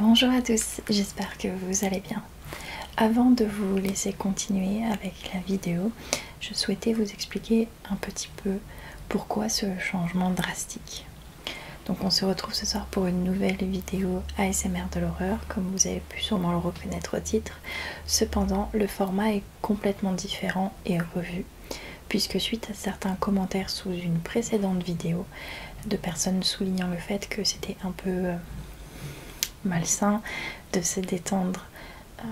Bonjour à tous, j'espère que vous allez bien. Avant de vous laisser continuer avec la vidéo, je souhaitais vous expliquer un petit peu pourquoi ce changement drastique. Donc on se retrouve ce soir pour une nouvelle vidéo ASMR de l'horreur, comme vous avez pu sûrement le reconnaître au titre. Cependant, le format est complètement différent et revu, puisque suite à certains commentaires sous une précédente vidéo, de personnes soulignant le fait que c'était un peu euh, malsain de se détendre euh,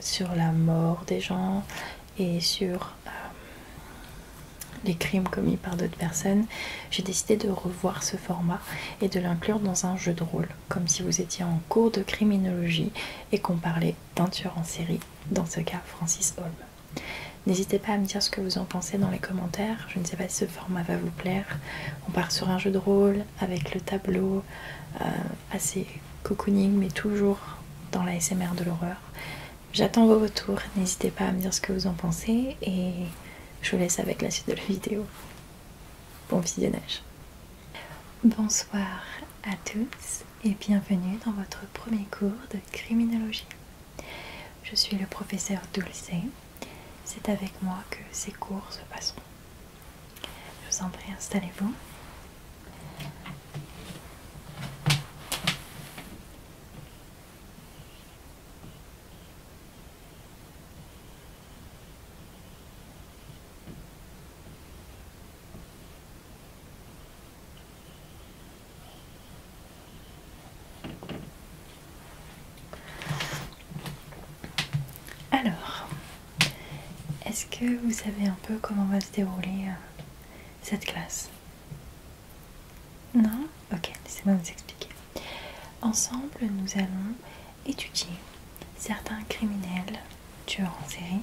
sur la mort des gens et sur euh, les crimes commis par d'autres personnes, j'ai décidé de revoir ce format et de l'inclure dans un jeu de rôle, comme si vous étiez en cours de criminologie et qu'on parlait d'un tueur en série, dans ce cas Francis Holm. N'hésitez pas à me dire ce que vous en pensez dans les commentaires. Je ne sais pas si ce format va vous plaire. On part sur un jeu de rôle, avec le tableau euh, assez cocooning mais toujours dans la SMR de l'horreur. J'attends vos retours, n'hésitez pas à me dire ce que vous en pensez et je vous laisse avec la suite de la vidéo. Bon visionnage. Bonsoir à tous et bienvenue dans votre premier cours de criminologie. Je suis le professeur Dulcé, C'est avec moi que ces cours se passeront. Je vous en prie, installez-vous. Alors, est-ce que vous savez un peu comment va se dérouler euh, cette classe Non Ok, laissez-moi vous expliquer. Ensemble, nous allons étudier certains criminels, tueurs en série.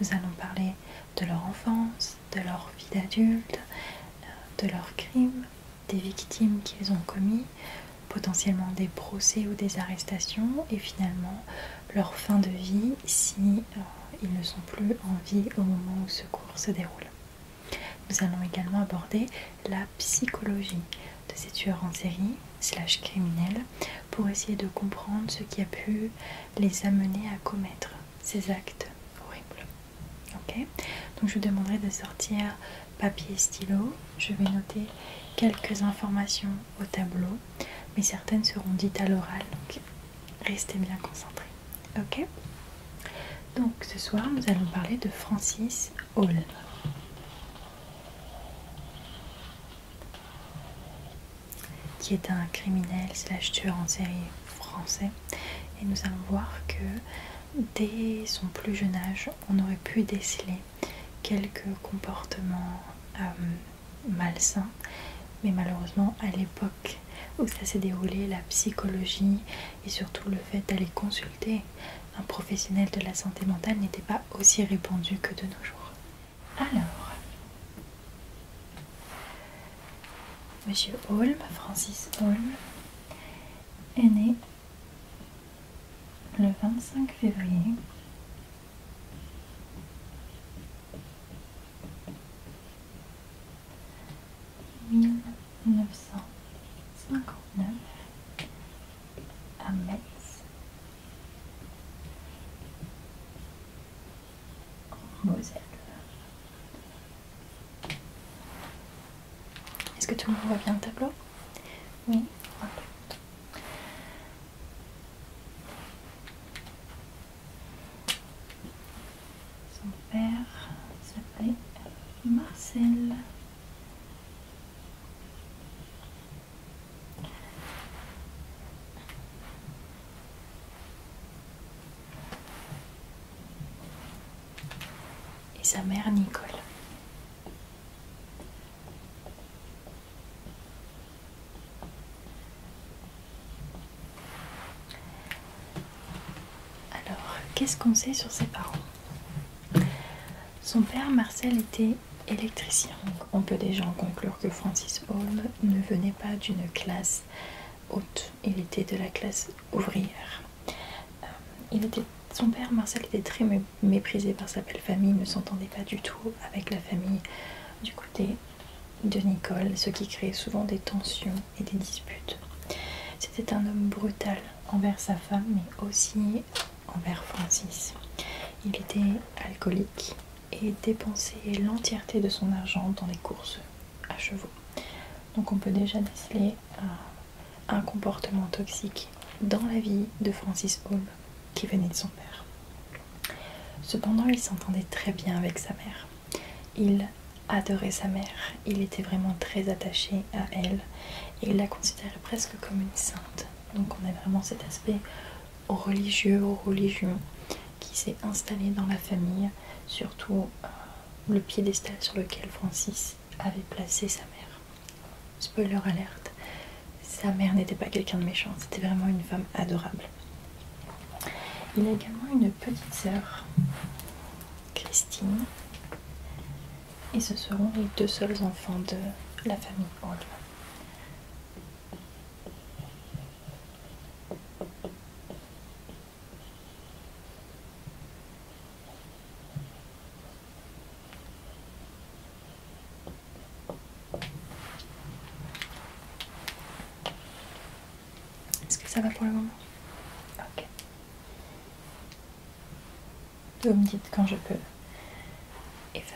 Nous allons parler de leur enfance, de leur vie d'adulte, euh, de leurs crimes, des victimes qu'ils ont commis, potentiellement des procès ou des arrestations et finalement leur fin de vie si euh, ils ne sont plus en vie au moment où ce cours se déroule. Nous allons également aborder la psychologie de ces tueurs en série slash criminels pour essayer de comprendre ce qui a pu les amener à commettre ces actes horribles. Donc je vous demanderai de sortir papier et stylo. Je vais noter quelques informations au tableau, mais certaines seront dites à l'oral, donc restez bien concentrés. Ok Donc ce soir, nous allons parler de Francis Hall. qui est un criminel slash tueur en série français. Et nous allons voir que dès son plus jeune âge, on aurait pu déceler quelques comportements euh, malsains. Mais malheureusement, à l'époque où ça s'est déroulé, la psychologie et surtout le fait d'aller consulter un professionnel de la santé mentale n'était pas aussi répandu que de nos jours. Alors, Monsieur Holm, Francis Holm, est né le 25 février, mille neuf cent cinquante-neuf à Metz, Moselle. Est-ce que tout le monde voit bien le tableau Oui. Son père s'appelait Marcel. Et sa mère Nicole. Alors, qu'est-ce qu'on sait sur ses parents Son père Marcel était électricien. On peut déjà en conclure que Francis Hall ne venait pas d'une classe haute, il était de la classe ouvrière. Euh, il était, son père Marcel était très méprisé par sa belle famille, ne s'entendait pas du tout avec la famille du côté de Nicole, ce qui créait souvent des tensions et des disputes. C'était un homme brutal envers sa femme, mais aussi envers Francis. Il était alcoolique et dépensait l'entièreté de son argent dans les courses à chevaux. Donc on peut déjà déceler un, comportement toxique dans la vie de Francis Holm qui venait de son père. Cependant, il s'entendait très bien avec sa mère. Il adorait sa mère, il était vraiment très attaché à elle et il la considérait presque comme une sainte. Donc on a vraiment cet aspect religieux aux qui s'est installé dans la famille, surtout euh, le piédestal sur lequel Francis avait placé sa mère spoiler alerte, sa mère n'était pas quelqu'un de méchant, c'était vraiment une femme adorable. Il a également une petite sœur, Christine, et ce seront les deux seuls enfants de la famille Paul. Est-ce que ça va pour le moment Ok. Vous me dites quand je peux effacer.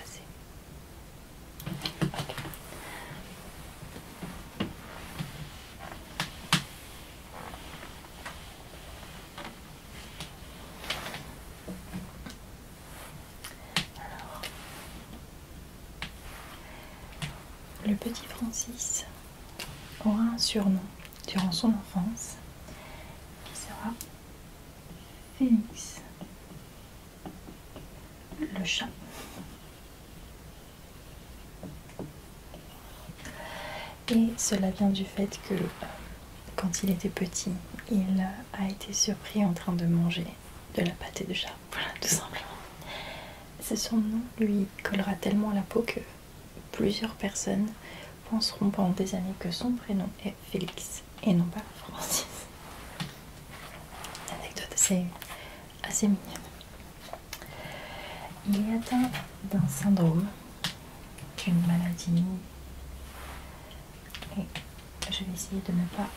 Alors, le petit Francis aura un surnom durant son enfance qui sera Félix, le chat. Et cela vient du fait que euh, quand il était petit, il a été surpris en train de manger de la pâté de chat, voilà tout simplement. Ce son nom lui collera tellement à la peau que plusieurs personnes penseront pendant des années que son prénom est Félix et non pas Francis. L'anecdote anecdote assez, assez mignonne. Il est atteint d'un syndrome, d'une maladie et je vais essayer de ne pas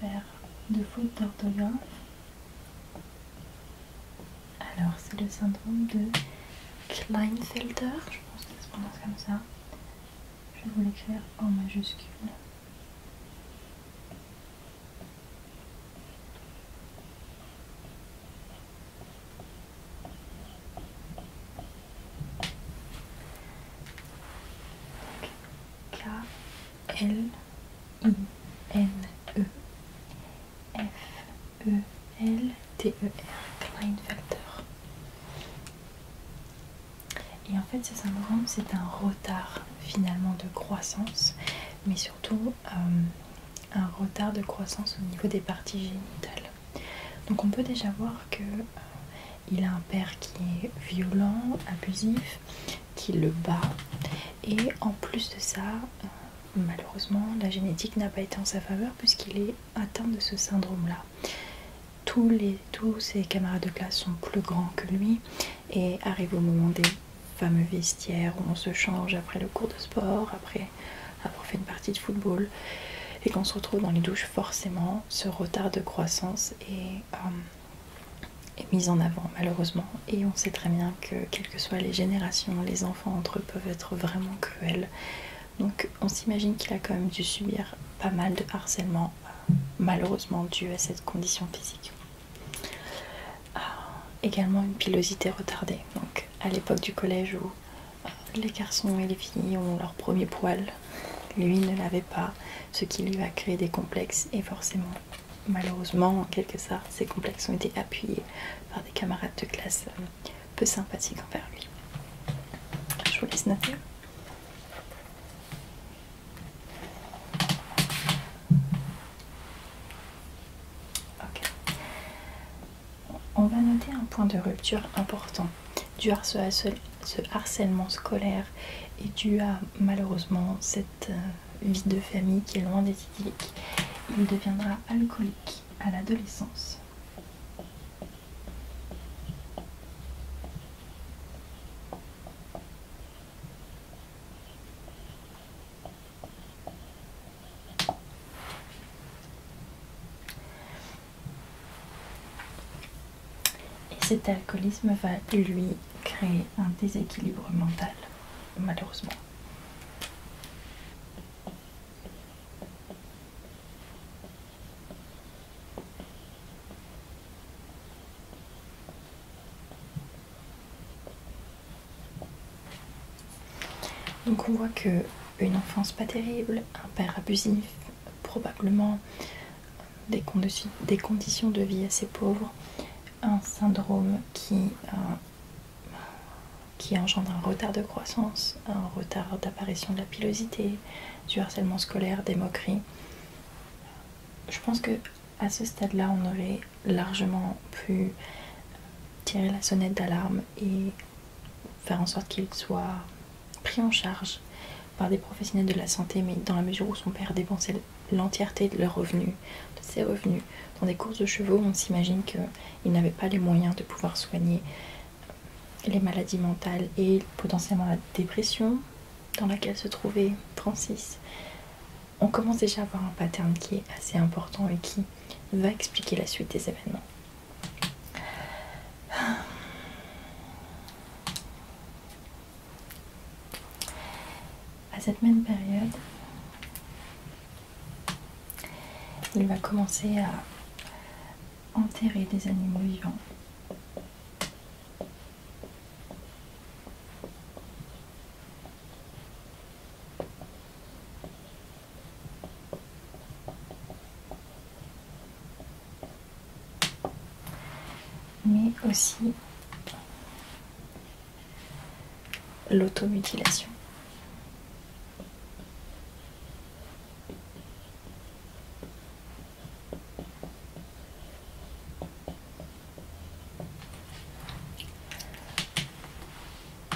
faire de fouilles d'orthographe. Alors, c'est le syndrome de Kleinfelder, je pense que se prononce comme ça. Je vais vous l'écrire en majuscule. K L I N E F E L T E R Factor. Et en fait ce syndrome c'est un retard finalement de croissance mais surtout euh, un retard de croissance au niveau des parties génitales. Donc on peut déjà voir qu'il euh, a un père qui est violent, abusif, qui le bat et en plus de ça, euh, malheureusement, la génétique n'a pas été en sa faveur puisqu'il est atteint de ce syndrome-là. Tous, tous ses camarades de classe sont plus grands que lui et arrive au moment des fameux vestiaires où on se change après le cours de sport, après avoir fait une partie de football et qu'on se retrouve dans les douches forcément ce retard de croissance euh, est, mis en avant malheureusement et on sait très bien que quelles que soient les générations, les enfants entre eux peuvent être vraiment cruels. Donc on s'imagine qu'il a quand même dû subir pas mal de harcèlement euh, malheureusement dû à cette condition physique. Ah, également une pilosité retardée. Donc à l'époque du collège où euh, les garçons et les filles ont leur premier poil, lui ne l'avait pas ce qui lui a créé des complexes et forcément malheureusement en quelque sorte ces complexes ont été appuyés par des camarades de classe euh, peu sympathiques envers lui. Je vous laisse noter. On va noter un point de rupture important du harcèlement ce harcèlement scolaire est dû à malheureusement cette euh, vie de famille qui est loin d'être idyllique. Il deviendra alcoolique à l'adolescence. Et cet alcoolisme va lui créer un déséquilibre mental, malheureusement. Donc on voit que une enfance pas terrible, un père abusif, probablement des, conditions de vie assez pauvres, un syndrome qui, euh, qui engendre un retard de croissance, un retard d'apparition de la pilosité, du harcèlement scolaire, des moqueries. Je pense que à ce stade-là, on aurait largement pu tirer la sonnette d'alarme et faire en sorte qu'il soit pris en charge par des professionnels de la santé, mais dans la mesure où son père dépensait l'entièreté de leurs revenus, de ses revenus, dans des courses de chevaux, on s'imagine qu'il n'avait pas les moyens de pouvoir soigner les maladies mentales et potentiellement la dépression dans laquelle se trouvait Francis. On commence déjà à avoir un pattern qui est assez important et qui va expliquer la suite des événements. À cette même période, il va commencer à enterrer des animaux vivants mais aussi l'automutilation.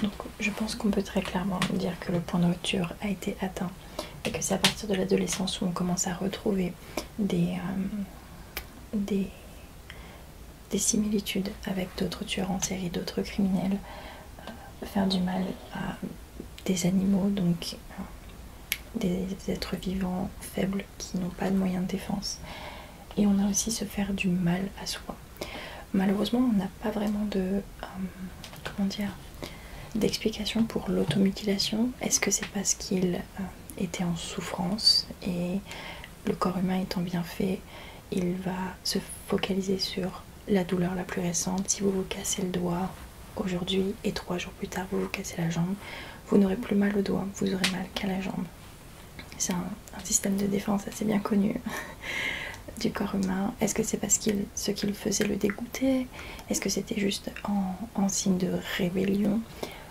Donc je pense qu'on peut très clairement dire que le point de rupture a été atteint et que c'est à partir de l'adolescence où on commence à retrouver des, euh, similitudes avec d'autres tueurs en série, d'autres criminels, euh, faire du mal à des animaux, donc euh, des êtres vivants faibles qui n'ont pas de moyens de défense. Et on a aussi se faire du mal à soi. Malheureusement, on n'a pas vraiment de... d'explication pour l'automutilation. Est-ce que c'est parce qu'il était en souffrance et le corps humain étant bien fait, il va se focaliser sur la douleur la plus récente. Si vous vous cassez le doigt aujourd'hui et trois jours plus tard vous vous cassez la jambe, vous n'aurez plus mal au doigt, vous aurez mal qu'à la jambe. C'est un, système de défense assez bien connu du corps humain. Est-ce que c'est parce que ce qu'il faisait le dégoûtait est-ce que c'était juste en, signe de rébellion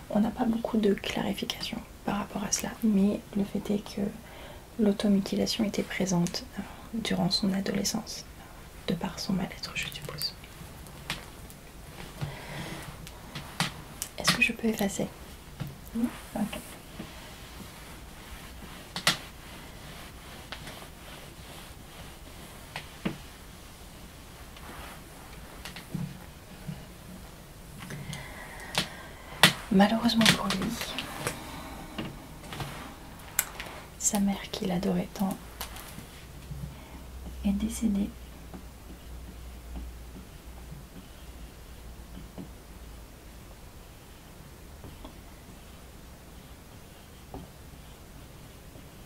On n'a pas beaucoup de clarification par rapport à cela, mais le fait est que l'automutilation était présente euh, durant son adolescence, euh, de par son mal-être, je suppose. Est-ce que je peux effacer Malheureusement pour lui, sa mère qui l'adorait tant est décédée.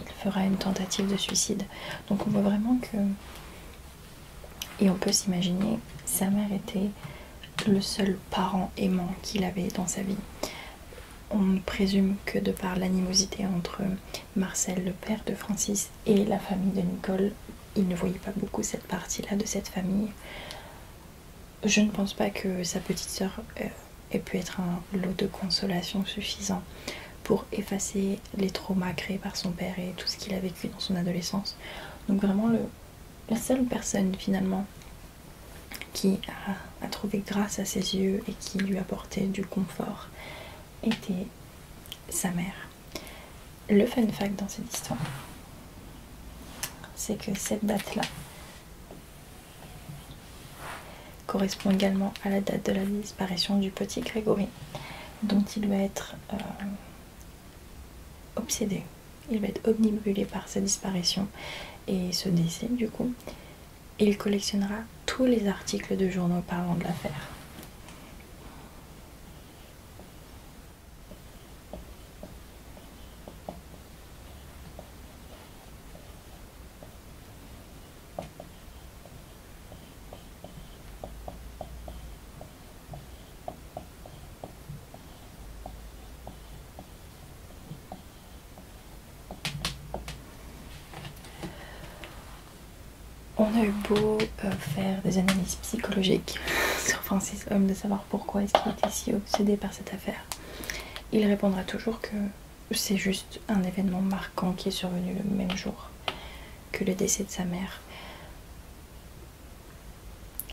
Il fera une tentative de suicide. Donc on voit vraiment que... Et on peut s'imaginer, sa mère était le seul parent aimant qu'il avait dans sa vie. On présume que de par l'animosité entre Marcel, le père de Francis, et la famille de Nicole, il ne voyait pas beaucoup cette partie-là de cette famille. Je ne pense pas que sa petite sœur euh, ait pu être un lot de consolation suffisant pour effacer les traumas créés par son père et tout ce qu'il a vécu dans son adolescence. Donc vraiment la seule personne finalement qui a, trouvé grâce à ses yeux et qui lui apportait du confort était sa mère le fun fact dans cette histoire, c'est que cette date-là correspond également à la date de la disparition du petit Grégory, dont il va être euh, obsédé. Il va être omnibulé par sa disparition et ce décès, du coup. Il collectionnera tous les articles de journaux parlant de l'affaire. On a eu beau euh, faire des analyses psychologiques sur Francis de savoir pourquoi est-ce qu'il si obsédé par cette affaire, il répondra toujours que c'est juste un événement marquant qui est survenu le même jour que le décès de sa mère.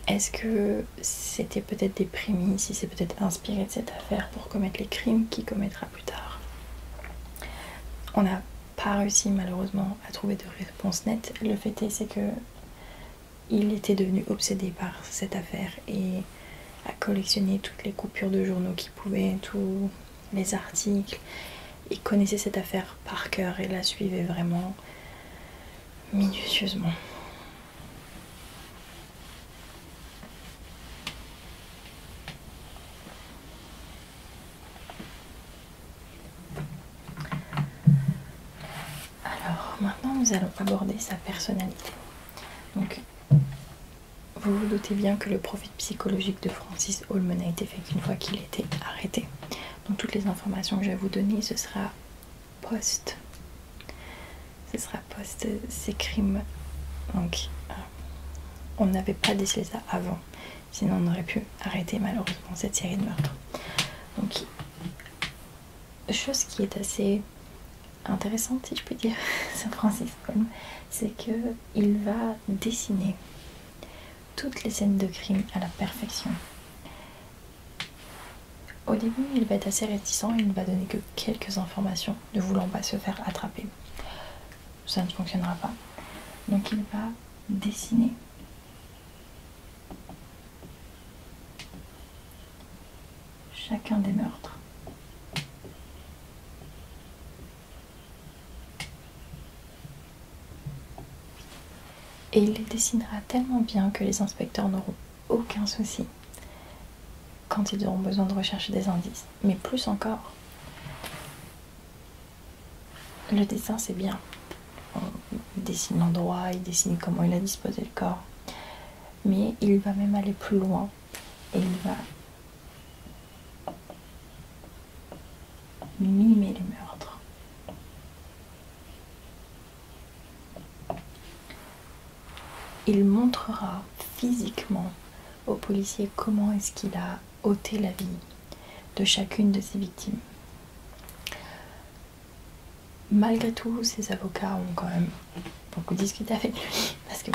Est-ce que c'était peut-être des prémices, si c'est peut-être inspiré de cette affaire pour commettre les crimes qu'il commettra plus tard On n'a pas réussi malheureusement à trouver de réponse nette. Le fait est, c'est que il était devenu obsédé par cette affaire et a collectionné toutes les coupures de journaux qu'il pouvait, tous les articles. Il connaissait cette affaire par cœur et la suivait vraiment minutieusement. Alors maintenant nous allons aborder sa personnalité. Donc vous vous doutez bien que le profit psychologique de Francis Holman a été fait une fois qu'il était arrêté. Donc toutes les informations que je vais vous donner, ce sera post. Ce sera post ses crimes. Donc euh, on n'avait pas décelé ça avant. Sinon on aurait pu arrêter malheureusement cette série de meurtres. Donc chose qui est assez intéressante, si je peux dire, Saint Francis, c'est il va dessiner toutes les scènes de crime à la perfection. Au début, il va être assez réticent, il ne va donner que quelques informations, ne voulant pas se faire attraper. Ça ne fonctionnera pas. Donc il va dessiner chacun des meurtres. Et il les dessinera tellement bien que les inspecteurs n'auront aucun souci quand ils auront besoin de rechercher des indices. Mais plus encore, le dessin c'est bien il dessine l'endroit, il dessine comment il a disposé le corps. Mais il va même aller plus loin et il va mimer les meurtres. Il montrera physiquement aux policiers comment est-ce qu'il a ôté la vie de chacune de ses victimes malgré tout, ces avocats ont quand même beaucoup discuté avec lui parce que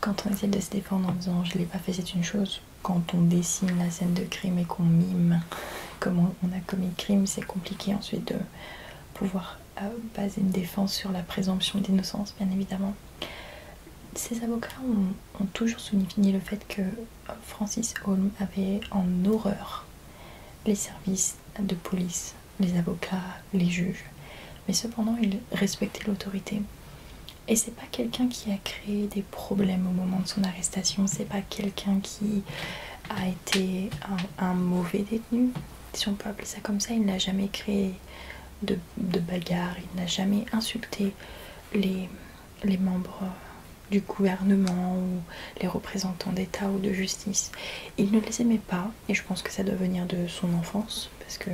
quand on essaie de se défendre en disant je ne l'ai pas fait, c'est une chose. Quand on dessine la scène de crime et qu'on mime comment on a commis le crime, c'est compliqué ensuite de pouvoir euh, baser une défense sur la présomption d'innocence, bien évidemment. Ces avocats ont, ont toujours souligné le fait que Francis Holm avait en horreur les services de police, les avocats, les juges. Mais cependant, il respectait l'autorité. Et c'est pas quelqu'un qui a créé des problèmes au moment de son arrestation, c'est pas quelqu'un qui a été un, mauvais détenu, si on peut appeler ça comme ça. Il n'a jamais créé de, bagarre, il n'a jamais insulté les membres du gouvernement ou les représentants d'État ou de justice. Il ne les aimait pas, et je pense que ça doit venir de son enfance, parce que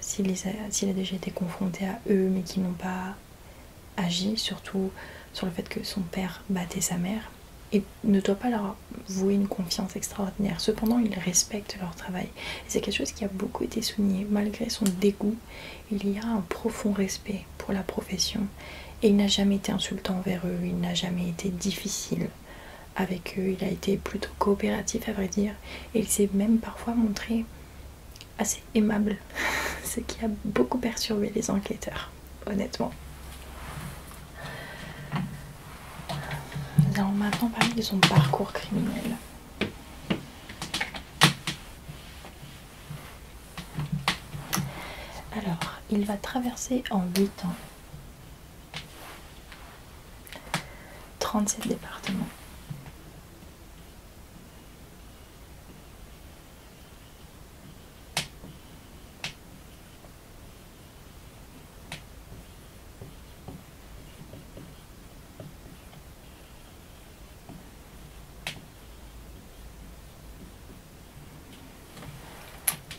s'il a, déjà été confronté à eux, mais qu'ils n'ont pas agi, surtout sur le fait que son père battait sa mère, et ne doit pas leur vouer une confiance extraordinaire. Cependant, il respecte leur travail. Et C'est quelque chose qui a beaucoup été souligné. Malgré son dégoût, il y a un profond respect pour la profession et il n'a jamais été insultant envers eux, il n'a jamais été difficile avec eux, il a été plutôt coopératif à vrai dire et il s'est même parfois montré assez aimable, ce qui a beaucoup perturbé les enquêteurs, honnêtement. on allons maintenant parler de son parcours criminel. Alors, il va traverser en huit ans 37 départements.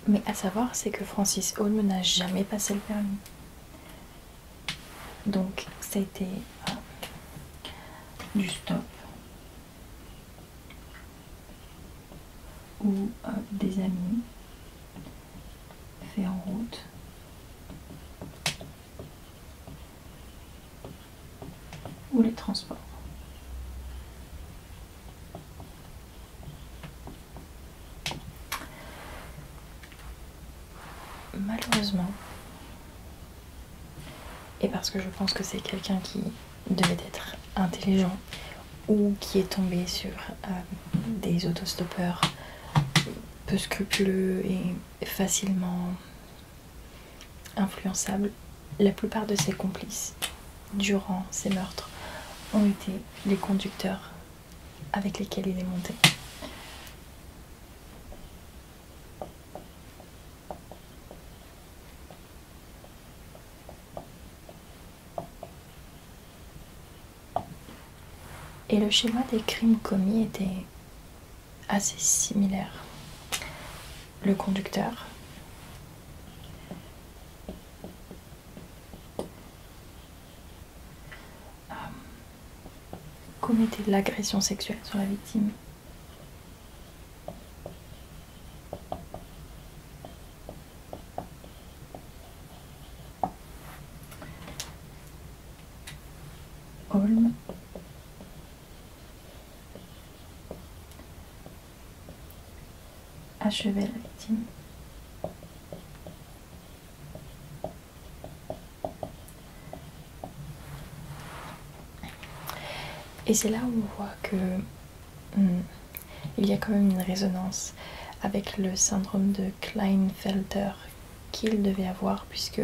Mais à savoir, c'est que Francis Holm n'a jamais passé le permis. Donc ça a été hein, du stop ou euh, des amis fait en route. ou les transports. Malheureusement, et parce que je pense que c'est quelqu'un qui devait être intelligent ou qui est tombé sur euh, des autostoppeurs peu scrupuleux et facilement influençables, la plupart de ses complices durant ces meurtres ont été les conducteurs avec lesquels il est monté. Et le schéma des crimes commis était assez similaire. Le conducteur, euh, commettez de l'agression sexuelle sur la victime achever la victime. Et c'est là où on voit que hmm, il y a quand même une résonance avec le syndrome de Kleinfelder qu'il devait avoir puisque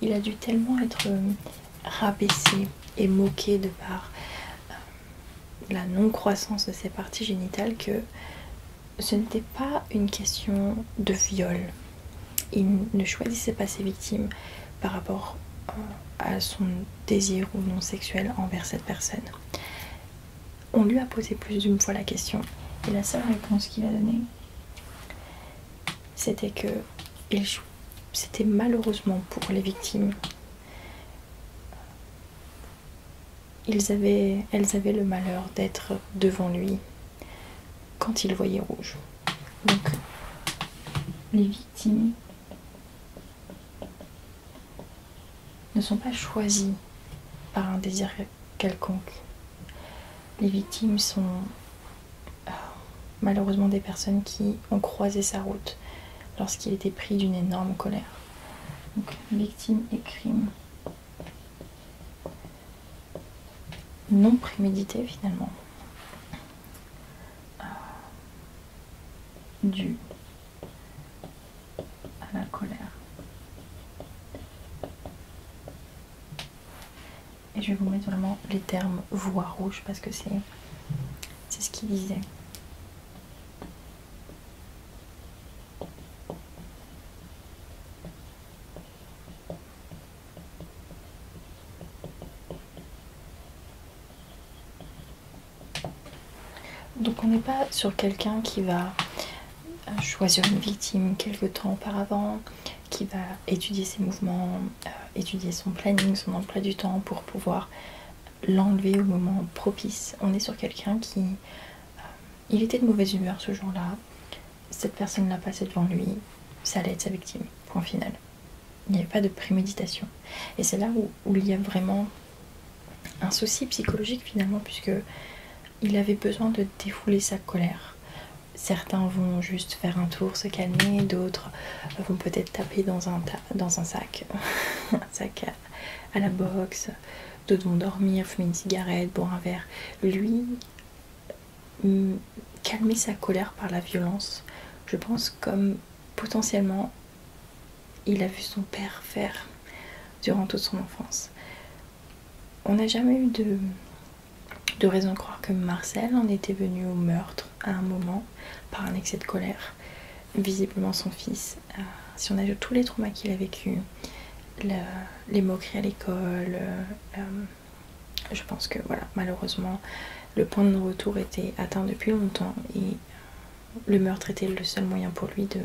il a dû tellement être hmm, rabaissé et moqué de par euh, la non-croissance de ses parties génitales que ce n'était pas une question de viol. Il ne choisissait pas ses victimes par rapport à son désir ou non sexuel envers cette personne. On lui a posé plus d'une fois la question et la seule réponse qu'il a donnée, c'était que c'était malheureusement pour les victimes elles avaient le malheur d'être devant lui quand il voyait rouge. Donc, les victimes ne sont pas choisies par un désir quelconque. Les victimes sont euh, malheureusement des personnes qui ont croisé sa route lorsqu'il était pris d'une énorme colère. Donc, victime et crime. Non prémédité finalement. Euh, dû à la colère. Et je vais vous mettre vraiment les termes voix rouge parce que c'est ce qu'il disait. Donc on n'est pas sur quelqu'un qui va euh, choisir une victime quelque temps auparavant, qui va étudier ses mouvements, euh, étudier son planning, son emploi du temps pour pouvoir l'enlever au moment propice. On est sur quelqu'un qui... Euh, il était de mauvaise humeur ce jour-là. Cette personne l'a passé devant lui. Ça allait être sa victime. Point final. Il n'y avait pas de préméditation. Et c'est là où, il y a vraiment un souci psychologique finalement, puisque il avait besoin de défouler sa colère. Certains vont juste faire un tour, se calmer, d'autres vont peut-être taper dans un, dans un sac, un sac à la boxe, de dormir, fumer une cigarette, boire un verre. Lui, hum, calmer sa colère par la violence, je pense comme potentiellement il a vu son père faire durant toute son enfance. On n'a jamais eu de, de raison de croire que Marcel en était venu au meurtre à un moment par un excès de colère visiblement son fils. Euh, si on ajoute tous les traumas qu'il a vécu, les moqueries à l'école, euh, je pense que voilà, malheureusement, le point de non retour était atteint depuis longtemps et euh, le meurtre était le seul moyen pour lui de,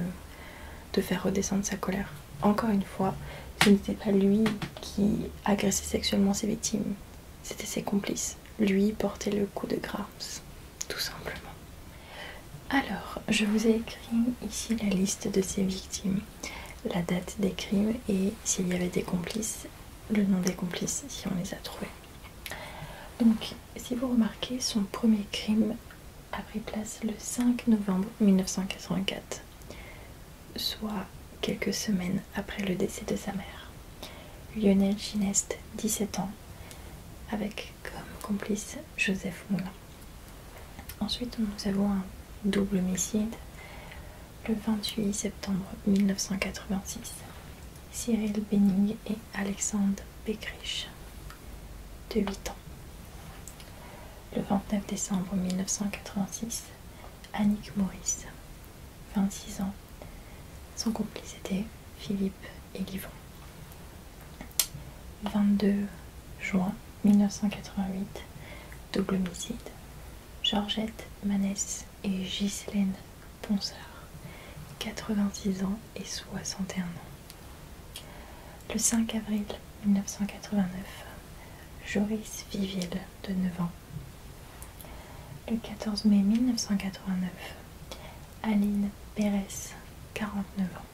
de faire redescendre sa colère. Encore une fois, ce n'était pas lui qui agressait sexuellement ses victimes, c'était ses complices. Lui portait le coup de grâce tout simplement. Alors, je vous ai écrit ici la liste de ses victimes, la date des crimes et s'il y avait des complices, le nom des complices si on les a trouvés. Donc, si vous remarquez, son premier crime a pris place le 5 novembre 1984, soit quelques semaines après le décès de sa mère. Lionel Ginest, 17 ans, avec comme complice Joseph Moulin. Ensuite, nous avons un double homicide le 28 septembre 1986. Cyril Benning et Alexandre Beckrich, de 8 ans. Le 29 décembre 1986, Annick Maurice, 26 ans. Son complice était Philippe et Livron. 22 juin 1988, double homicide. Georgette Manès et Ghislaine Ponsard, 86 ans et 61 ans. Le 5 avril 1989, Joris Viville de 9 ans. Le 14 mai 1989, Aline Pérez, 49 ans.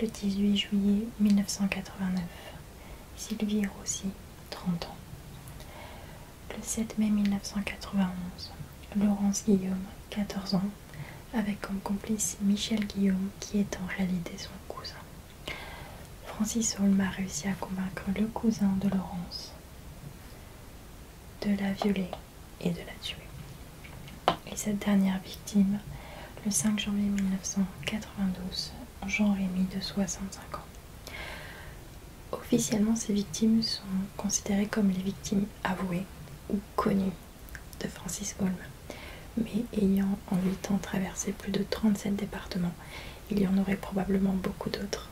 Le 18 juillet 1989, Sylvie Rossi, 30 ans. Le 7 mai 1991, Laurence Guillaume, 14 ans, avec comme complice Michel Guillaume qui est en réalité son cousin. Francis Holm a réussi à convaincre le cousin de Laurence de la violer et de la tuer. Et cette dernière victime, le 5 janvier 1992, Jean-Rémy de 65 ans. Officiellement, ces victimes sont considérées comme les victimes avouées ou connues de Francis Holm. Mais ayant en 8 ans traversé plus de 37 départements, il y en aurait probablement beaucoup d'autres.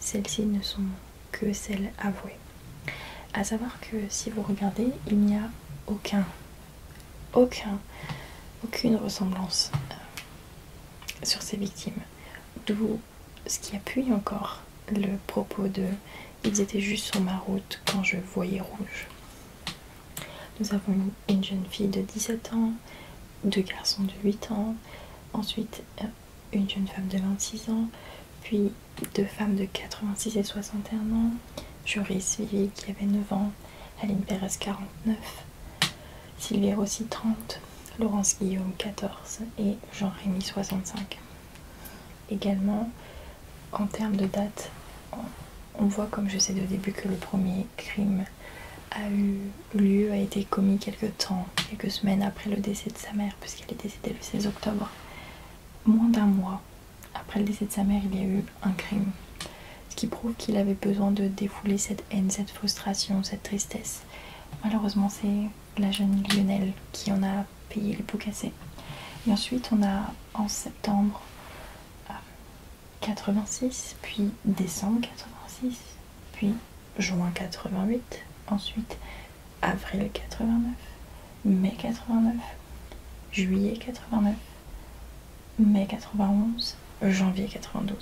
Celles-ci ne sont que celle avouée. à savoir que si vous regardez, il n'y a aucun, aucun, aucune ressemblance euh, sur ces victimes. D'où ce qui appuie encore le propos de ils étaient juste sur ma route quand je voyais rouge. Nous avons une, jeune fille de 17 ans, deux garçons de 8 ans, ensuite euh, une jeune femme de 26 ans, puis deux femmes de 86 et 61 ans, Joris Vivi qui avait 9 ans, Aline Pérez 49, Sylvie Rossi 30, Laurence Guillaume 14 et Jean-Rémy 65. Également, en termes de date, on voit comme je sais de début que le premier crime a eu lieu, a été commis quelques temps, quelques semaines après le décès de sa mère, puisqu'elle est décédée le 16 octobre, moins d'un mois après le décès de sa mère, il y a eu un crime. Ce qui prouve qu'il avait besoin de défouler cette haine, cette frustration, cette tristesse. Malheureusement, c'est la jeune Lionel qui en a payé les pots cassés. Et ensuite, on a en septembre 86, euh, puis décembre 86, puis juin 88, ensuite avril 89, mai 89, juillet 89, mai 91, janvier 92.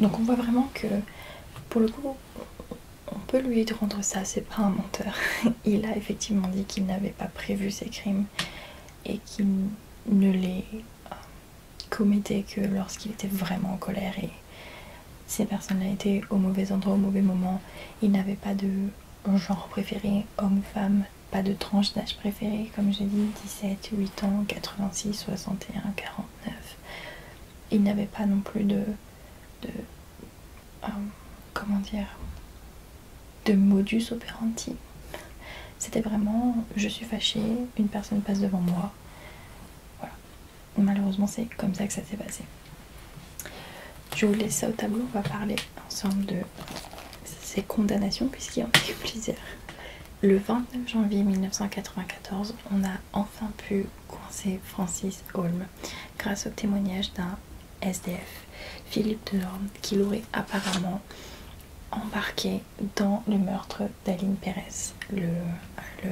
Donc on voit vraiment que pour le coup, on peut lui rendre ça, c'est pas un menteur. Il a effectivement dit qu'il n'avait pas prévu ses crimes et qu'il ne les euh, commettait que lorsqu'il était vraiment en colère et ces personnes-là étaient au mauvais endroit, au mauvais moment. Il n'avait pas de genre préféré, homme-femme, pas de tranche d'âge préféré, comme j'ai dit, 17, 8 ans, 86, 61, 49. Il n'avait pas non plus de. de euh, comment dire de modus operandi. C'était vraiment je suis fâchée, une personne passe devant moi. Voilà. Malheureusement, c'est comme ça que ça s'est passé. Je vous laisse ça au tableau, on va parler ensemble de ces condamnations puisqu'il y en a eu plusieurs. Le 29 janvier 1994, on a enfin pu coincer Francis Holm grâce au témoignage d'un SDF, Philippe Delorme, qui l'aurait apparemment embarqué dans le meurtre d'Aline Pérez. Le,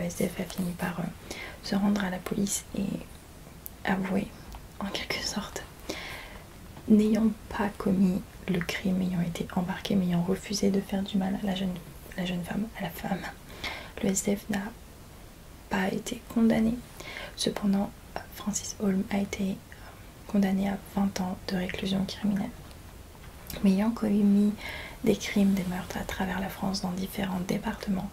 SDF a fini par euh, se rendre à la police et avoué en quelque sorte, n'ayant pas commis le crime, ayant été embarqué, mais ayant refusé de faire du mal à la jeune, femme, à la femme. Le SDF n'a pas été condamné. Cependant, Francis Holm a été condamné à 20 ans de réclusion criminelle. Mais ayant commis des crimes, des meurtres à travers la France dans différents départements,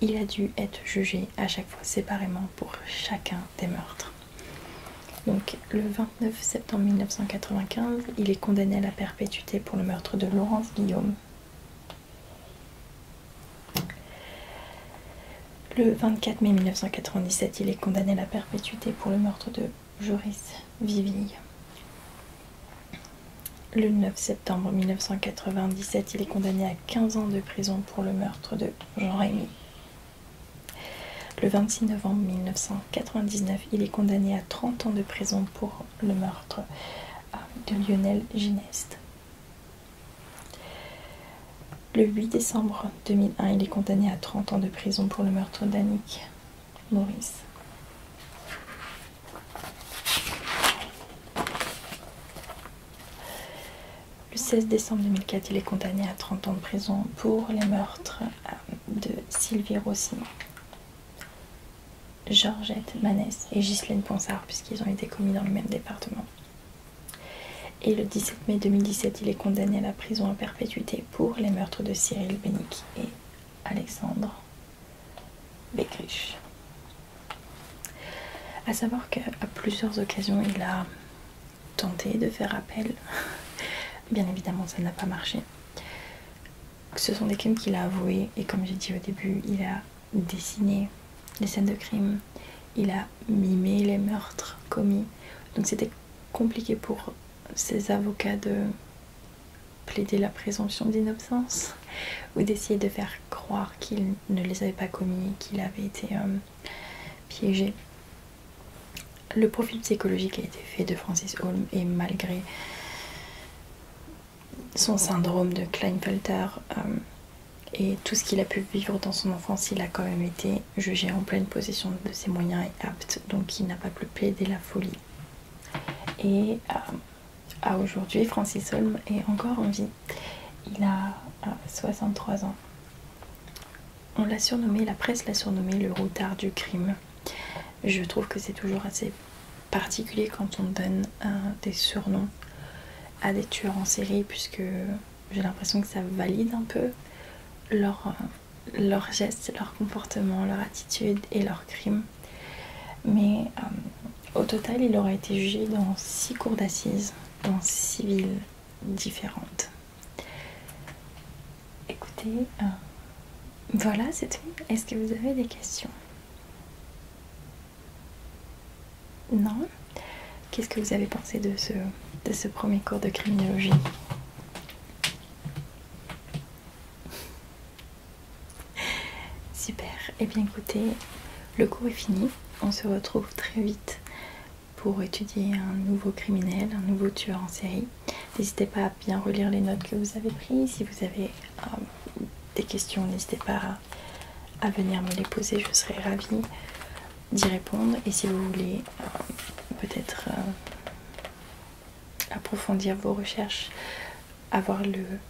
il a dû être jugé à chaque fois séparément pour chacun des meurtres. Donc, le 29 septembre 1995, il est condamné à la perpétuité pour le meurtre de Laurence Guillaume. Le 24 mai 1997, il est condamné à la perpétuité pour le meurtre de Joris Viville. Le 9 septembre 1997, il est condamné à 15 ans de prison pour le meurtre de Jean Rémy. Le 26 novembre 1999, il est condamné à 30 ans de prison pour le meurtre euh, de Lionel Gineste. Le 8 décembre 2001, il est condamné à 30 ans de prison pour le meurtre d'Annick Maurice. Le 16 décembre 2004, il est condamné à 30 ans de prison pour les meurtres euh, de Sylvie Rossignol, Georgette Manès et Ghislaine Ponsard, puisqu'ils ont été commis dans le même département. Et le 17 mai 2017, il est condamné à la prison à perpétuité pour les meurtres de Cyril Bénic et Alexandre Begrich. A savoir qu'à plusieurs occasions, il a tenté de faire appel. Bien évidemment, ça n'a pas marché. Ce sont des crimes qu'il a avoués et comme j'ai dit au début, il a dessiné les scènes de crime, il a mimé les meurtres commis. Donc c'était compliqué pour ses avocats de plaider la présomption d'innocence ou d'essayer de faire croire qu'il ne les avait pas commis, qu'il avait été euh, piégé. Le profil psychologique a été fait de Francis Holm et malgré son syndrome de Kleinfelter euh, et tout ce qu'il a pu vivre dans son enfance, il a quand même été jugé en pleine possession de ses moyens et aptes donc il n'a pas pu plaider la folie. Et euh, à aujourd'hui, Francis Holm est encore en vie. Il a 63 ah, ans. On l'a surnommé, la presse l'a surnommé le routard du crime. Je trouve que c'est toujours assez particulier quand on donne euh, des surnoms à des tueurs en série, puisque j'ai l'impression que ça valide un peu leurs leur euh, gestes, leur comportement, leur attitude et leurs crimes. Mais euh, au total, il aura été jugé dans six cours d'assises, dans villes différentes. Écoutez, euh, voilà, c'est tout. Est-ce que vous avez des questions Non Qu'est-ce que vous avez pensé de ce, de ce premier cours de criminologie Super, et eh bien écoutez, le cours est fini, on se retrouve très vite pour étudier un nouveau criminel, un nouveau tueur en série. N'hésitez pas à bien relire les notes que vous avez prises. Si vous avez euh, des questions, n'hésitez pas à, venir me les poser. Je serai ravie d'y répondre. Et si vous voulez euh, peut-être euh, approfondir vos recherches, avoir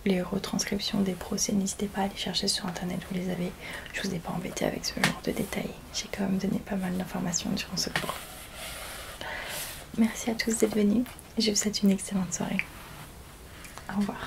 les retranscriptions des procès, n'hésitez pas à les chercher sur internet. Vous les avez. Je vous ai pas embêté avec ce genre de détails. J'ai quand même donné pas mal d'informations durant ce cours. Merci à tous d'être venus et je vous souhaite une excellente soirée. Au revoir.